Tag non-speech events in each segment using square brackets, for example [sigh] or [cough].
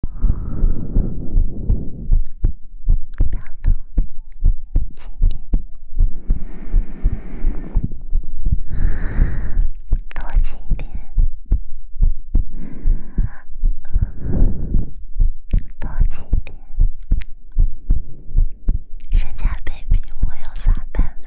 多激动，多激动，多激动！人家被逼，我有啥办法？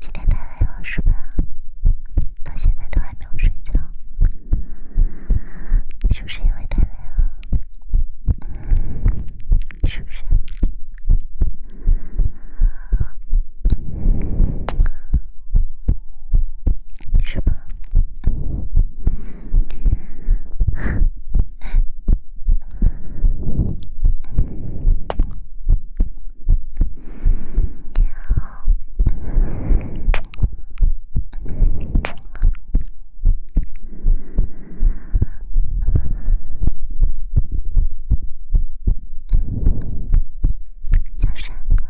今天太累了是吧？到现在都还没有睡觉，是不是因为太累了？是不是？是吗？你好，小帅哥，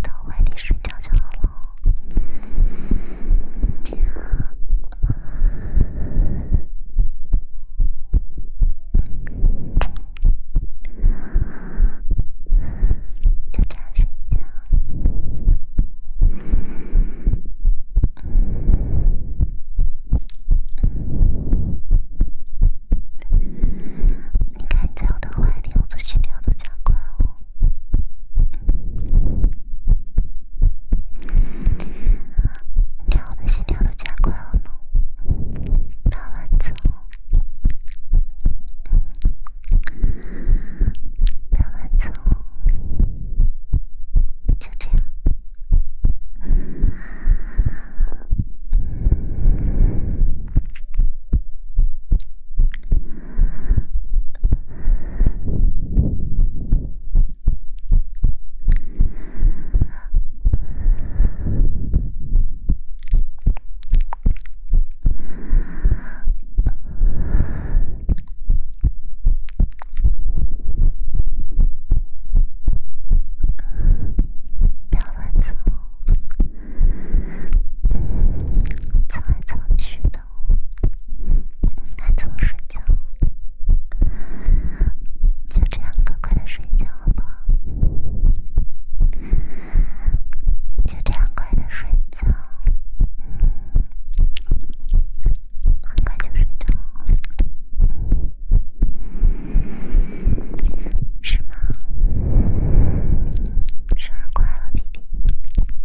等我带睡觉就好了。就这样睡觉。你看，在我的怀里，我心跳多加快哦。我的心跳都加快了呢。晚安，总。晚安，总。就这样。别乱走，走来走去的。孩子，我睡觉，就这样快快的睡觉好不好？就这样快的睡觉，嗯，快快就睡觉，是吗？生日快乐，B B。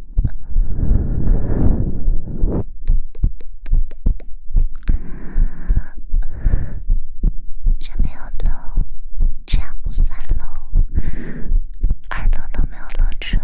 没有漏，这样不算漏，耳朵都没有漏出来。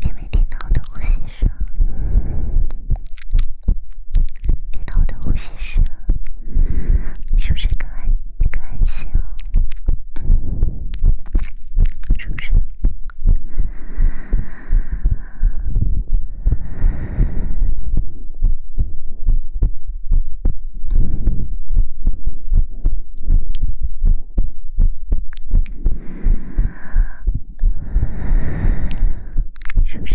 听没听到我的呼吸声？听到我的呼吸声，是不是更安更安心了？是不是？是不是？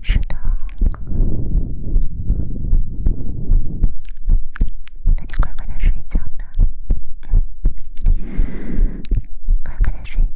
是的。那你乖乖的睡觉吧，嗯，乖乖的睡。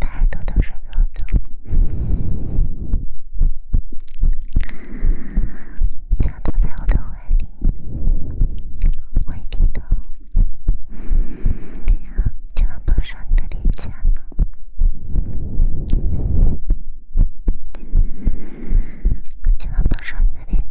大耳朵都是肉的，他躺在我的怀里，怀里头，就能碰上你的脸颊。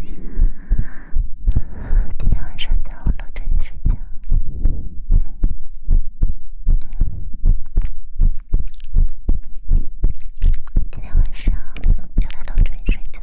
今天晚上在楼道陪你睡觉。今天晚上就在楼道陪你睡觉。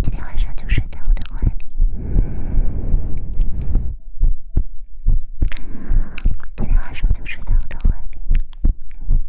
今天晚上就睡在我的怀里。今天晚上就睡在我的怀里。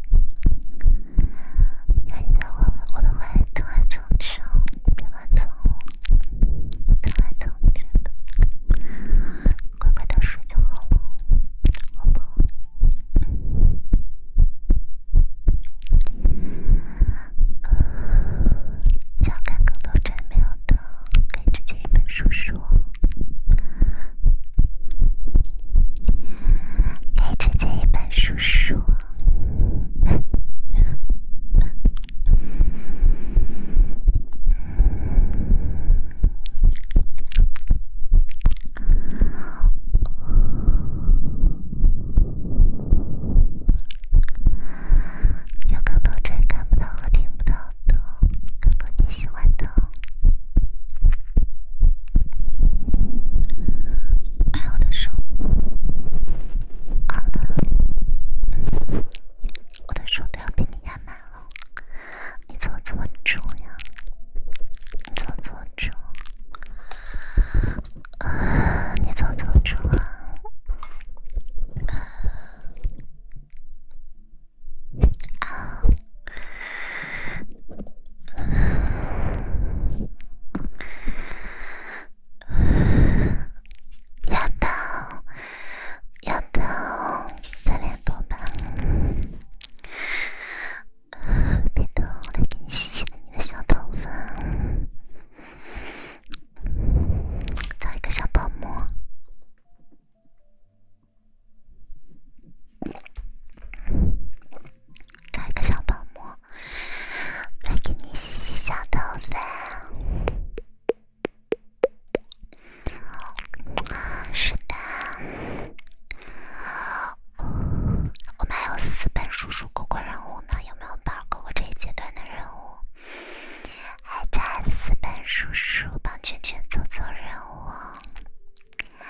有在我，我都会都很充足，别怕痛，疼来疼，别疼，乖乖的睡就好好不想看更多真美好的，可以直接一本书书，可以直接一本书书。有更多追看不到和听不到的，更多你喜欢的。哎，我的手，啊，我的手都要被你压满了，你怎么这么重呀？你怎么这么重？啊，你怎么这么重？啊。啊。丫 [sighs] 头，丫头，小头发，别动，来给你洗一下你的小头发，找一个小泡沫，找一个小泡沫。来给你洗洗小头发。是的，我们还有四本叔叔哥哥任务呢，有没有帮过过这一阶段的任务？还差四本叔叔帮圈圈做做任务，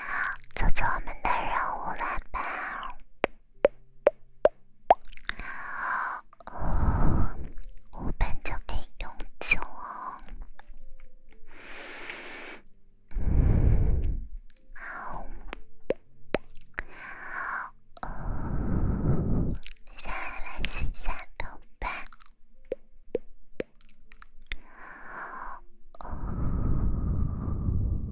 做做我们的任务来吧。五分就可以永久。三万四千六百。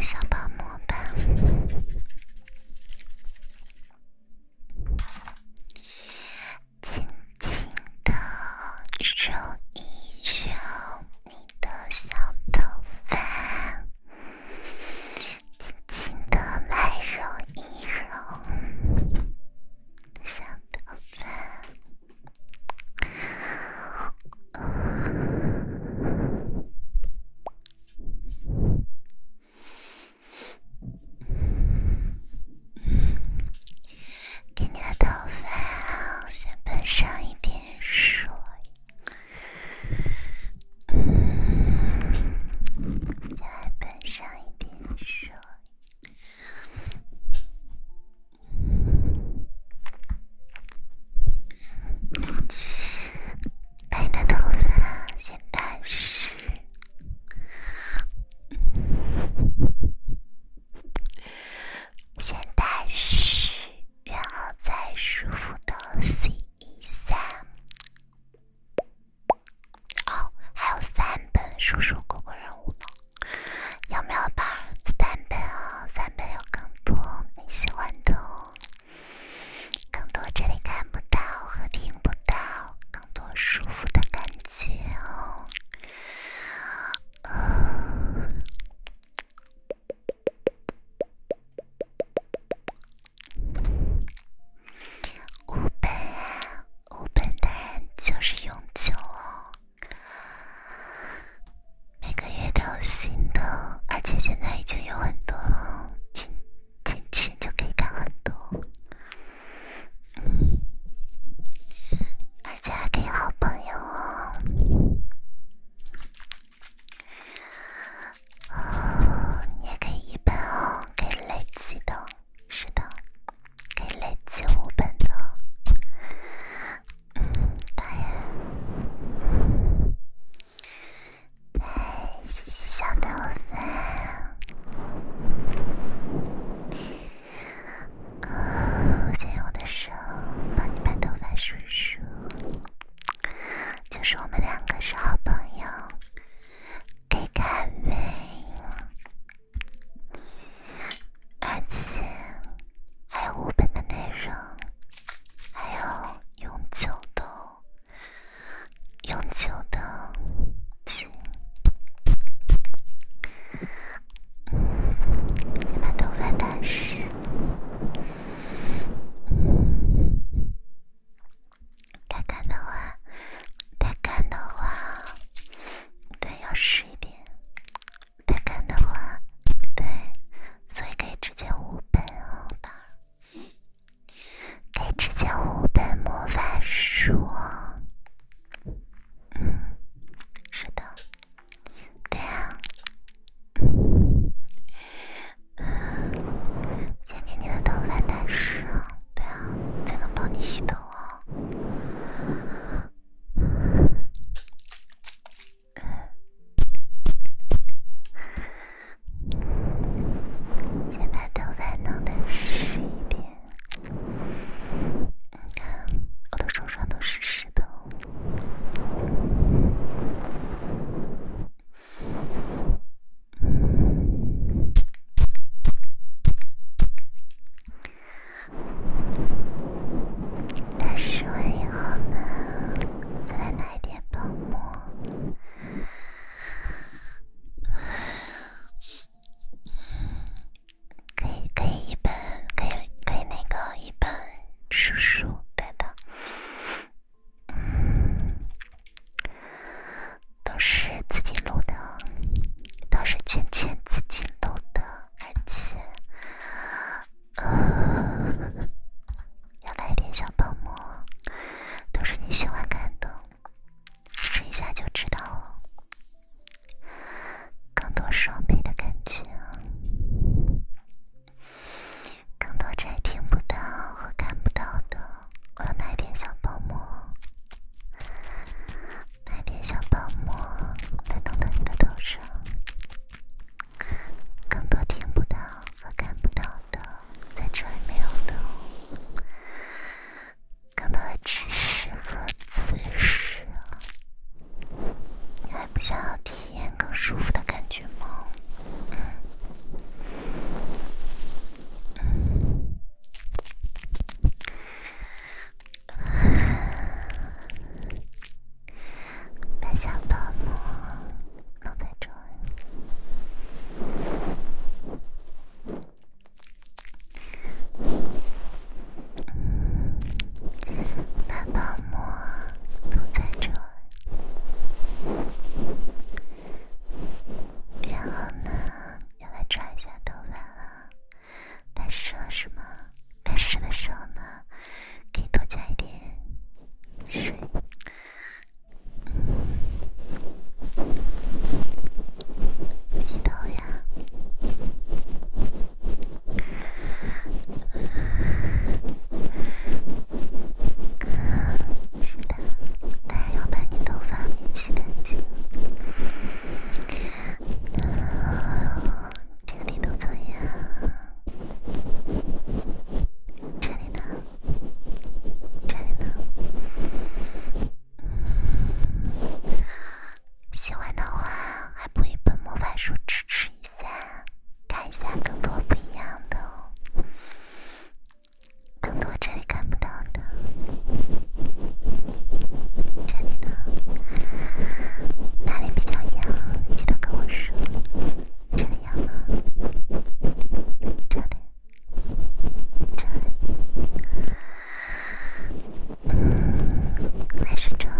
小宝宝吧。轻轻地揉一揉你的小头发，轻轻地来揉一揉小头发。给你的头发先喷上一点水，再喷上一点水，把你的头发先打湿。先大声，然后再舒服的细一三。哦，还有三本叔叔哥哥任务呢，有没有儿子三本哦？三本有更多你喜欢的，哦。更多这里看不到和听不到，更多舒服的感觉哦。无本，无本的人就是永久，每个月都新的，而且现在已经有很多了，进进去就可以干很多。而且还可以好朋友哦，你也可以一本哦，可以累积的，是的，可以累积五本的，当然，谢谢小豆粉。我先用我的手帮你把头发梳梳，就是我们两个是好朋友，该干呗。而且，还有五本的内容，还有永久的，永久的。先把头发打湿，太干的话，太干的话，对，要湿一点。太干的话，对，所以可以直接五本啊，对，可以直接五本魔法书。嗯，是的。对啊，先给你的头发打湿，对啊，才能帮你洗头啊。先把头发弄的湿一点。你看，我的手上都湿湿的。打湿完以后呢，再来拿一点泡沫。可以可以一本可以可以那个一本书书，对的，嗯，都是自己录的，都是圈圈自己录的，而且，呃，要来点小泡沫，都是你喜欢看的，试一下就知道了。更多双倍的感觉，更多在听不到和看不到的，我有哪点小泡沫？哪点小包膜在动动你的头上？更多听不到和看不到的在这里没有的，更多的知识和知识。你还不想要体验更舒服的感觉吗？想发泡膜都在这，然后呢，要来抓一下头发了。太是吗？太湿的时呢，可以多加一点水。嗯，洗头呀。是的，但是要把你头发先洗干净。这里怎么样？这里呢？这里呢？喜欢的话，还补一本魔法书支持一下，看一下更多不一样的哦，更多这里看不到的，这里呢，哪里比较痒，记得跟我说。这里痒吗？这里，这里。嗯，还是这样。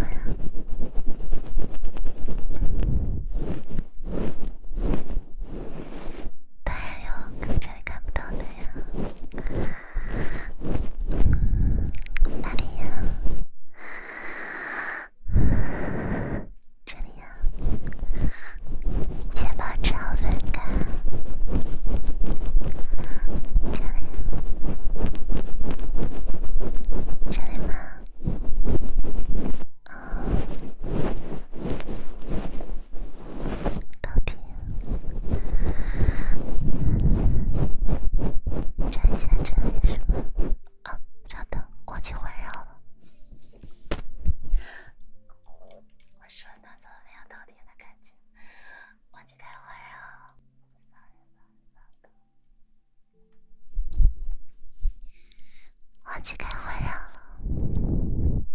当然有隔着看不到的呀，哪里呀？这里呀，先保持好分开。这里，这里吗？到底一下这里哦，忘记环绕了。我说呢，怎么到底忘记开会了。忘记开环绕了，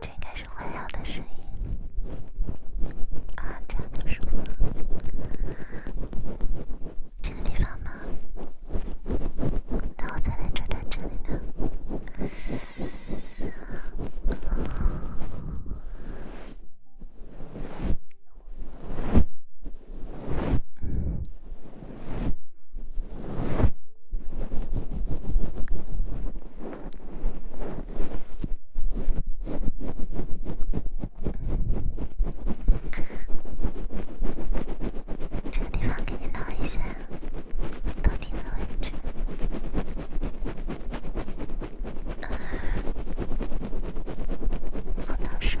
这应该是环绕的声音啊！这叫什么？这个地方吗？那我再来转转这里的。这个地方给你弄一下。到底的位置？好难说。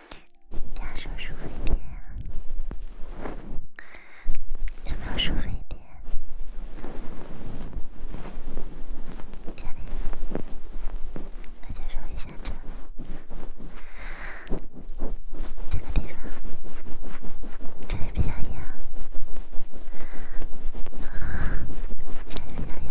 找收费点，有没有收费点？这里，大家注意一下这这个地方，这里比较远，这里比较远。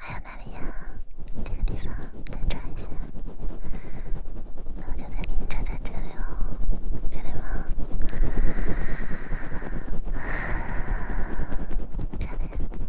还有哪里呀？这个地方，再转一下。那我就再给你转转这里哦，这里吗？这里。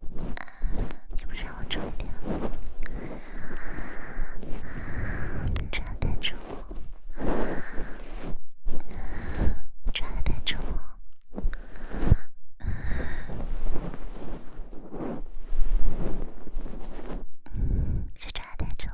你不是要重叠吗？抓得太重，抓得太重，是抓得太重。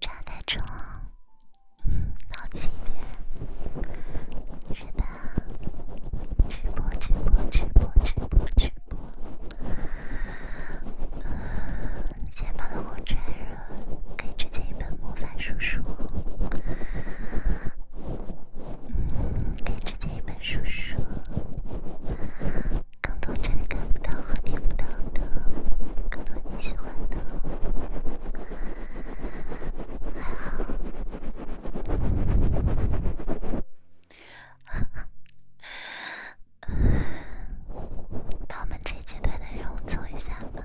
炸太重，到七点，是的，直播直播直播直播直播。肩膀的红柴人可以直接一本魔法书书。嗯，可以直接一本书说，更多这里看不到和听不到的，更多你喜欢的，好，把我们这阶段的任务做一下吧。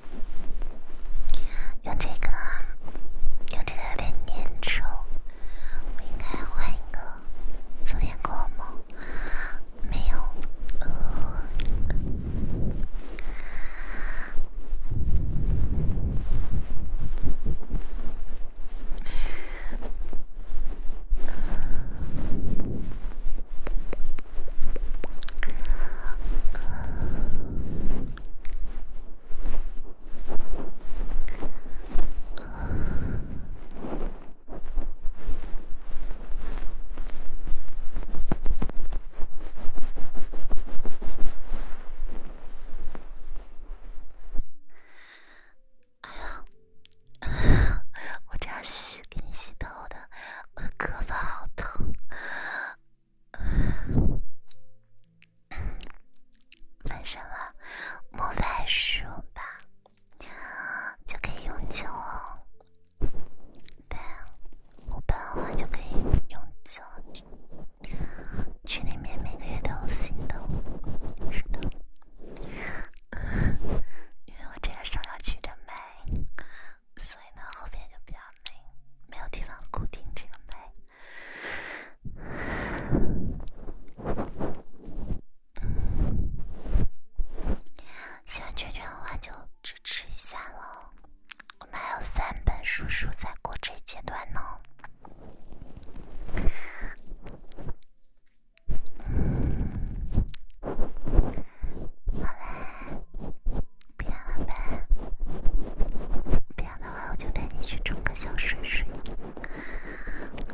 用这个，用这个有点粘稠，我应该换一个。昨天过吗？没有。哎呀，我这样洗给你洗头的，我的胳膊好疼。买什么？买书吧，就可以永久。对，不我的话就可以永久。群里面每个月都有新的，是的，因为我这个手要举着卖，所以呢，后边就比较累，没有地方固定这个麦。喜欢圈圈的话，就支持一下喽。我们还有三本书书在过这一阶段呢。好嘞。不要了呗，不然的话我就带你去冲个小水水，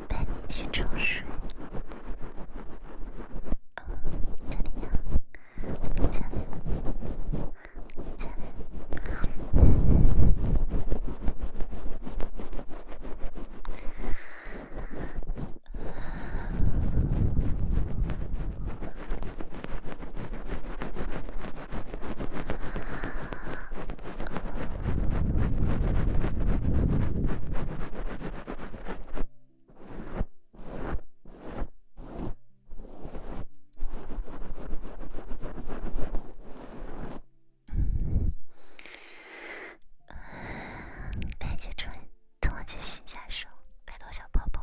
带你去冲水。这里呀，这里，这里。白嘴唇，多去洗下手，再多小泡泡。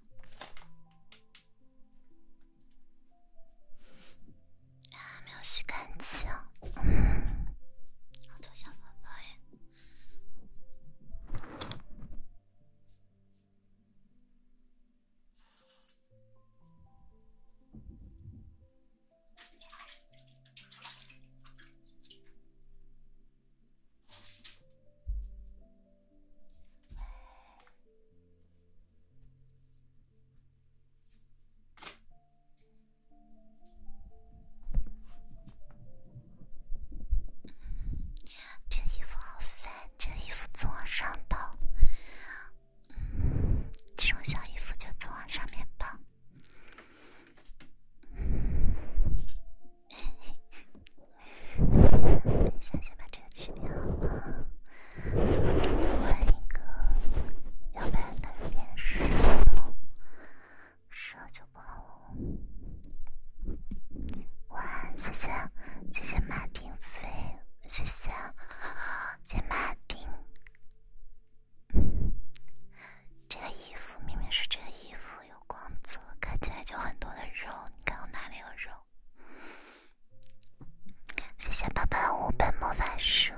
还没有洗干净，好多小宝宝耶。这衣服好烦，这衣服总往上跑。这种小衣服就总往上面跑。哎，等一下，等一下，先把这个去掉，我给你换一个，要不然它变蛇了，就不好了。谢谢，谢谢马定飞，谢谢，谢马定。这个衣服明明是这个衣服。有光泽，看起来就很多的肉。你看我哪里有肉？谢谢爸爸五本魔法书。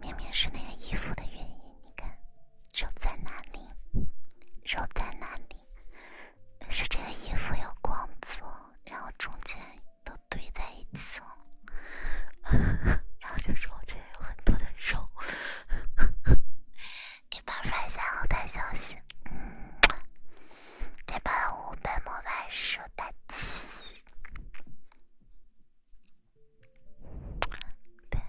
明明是那个衣服的原因，你看肉在哪里？肉在哪里？是这个衣服有光泽，然后中间都堆在一起了，[laughs] 然后就说我这里有很多的肉。你发出来一下后台消息，这把五百魔幻书大。期，对，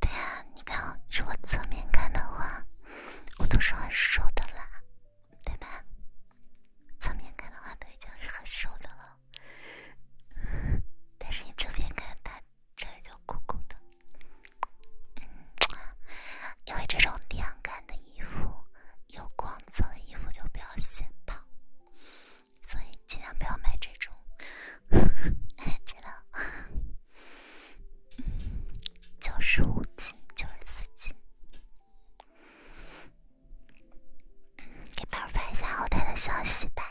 对啊，你看，如果侧面看的话，我都是很瘦的啦，对吧？侧面看的话，都已经是很瘦的了，[laughs] 但是你正面看它。这里就鼓鼓的，因为这种亮感的衣服、有光泽的衣服就比较显胖，所以尽量不要买这种。[laughs] 知道。[laughs] 九十五斤，九十四斤。给宝儿发一下后台的消息，拜。